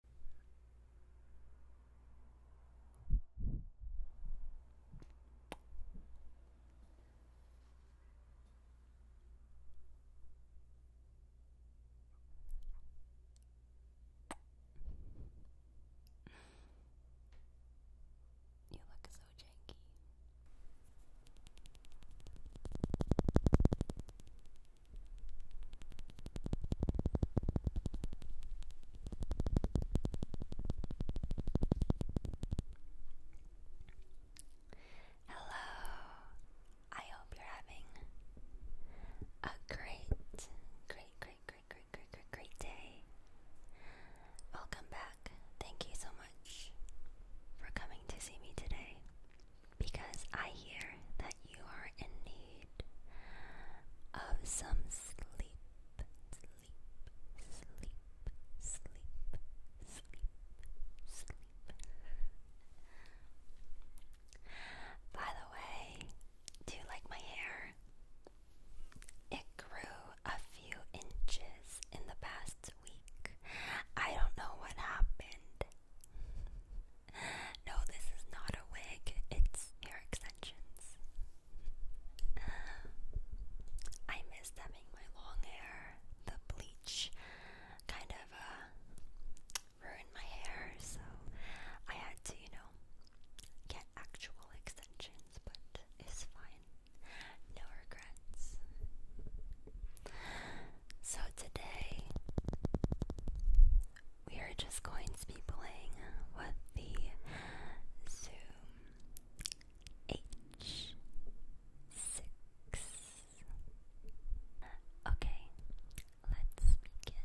You look so janky. Hello. I hope you're having a great, great, great, great, great, great, great, great day. Welcome back. Thank you so much for coming to see me today because I hear that you are in need of some sleep, sleep, sleep, sleep, sleep, sleep. By the way, do you like my hair? It grew a few inches in the past week. I don't know what happened. no, this is not a wig, it's hair extensions. I miss having my long hair. The bleach kind of uh, ruined my hair, so I had to, you know, get actual extensions, but it's fine. No regrets. So today we are just going to be playing with the Zoom H six. Okay, let's begin.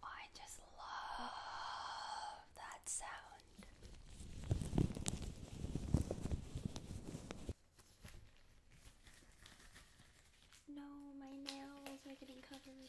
I just love that sound. No, my nails are getting covered.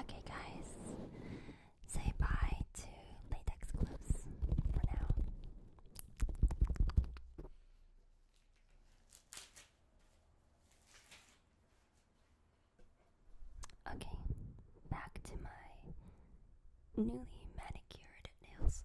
Okay, guys, say bye to latex gloves for now. Okay, back to my newly manicured nails.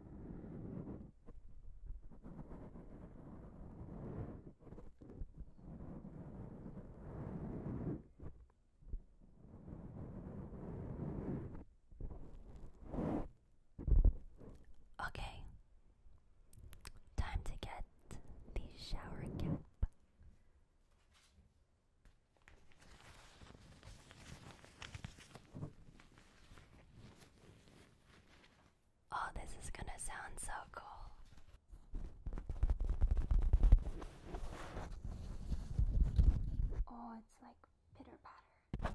Okay, time to get the shower cap. Oh, this is gonna sound so cool. Oh, it's like pitter patter.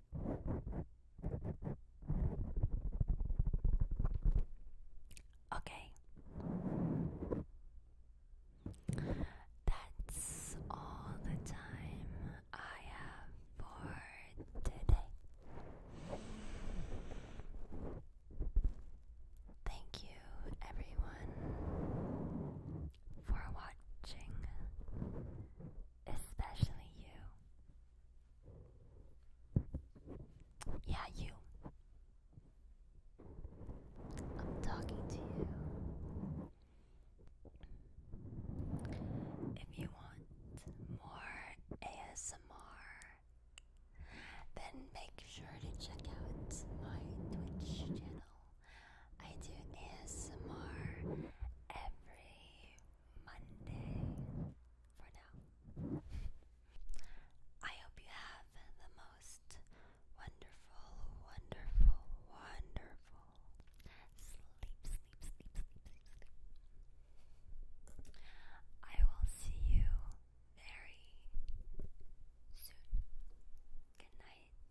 Okay. That's all the time I have for today. Thank you, everyone, for watching, especially you. Yeah, you. I'm talking to you. If you want more ASMR, then make sure to check out my Twitch channel. I do ASMR every Monday for now. I hope you have the most wonderful, wonderful, wonderful sleep, I will see you very soon. Good night.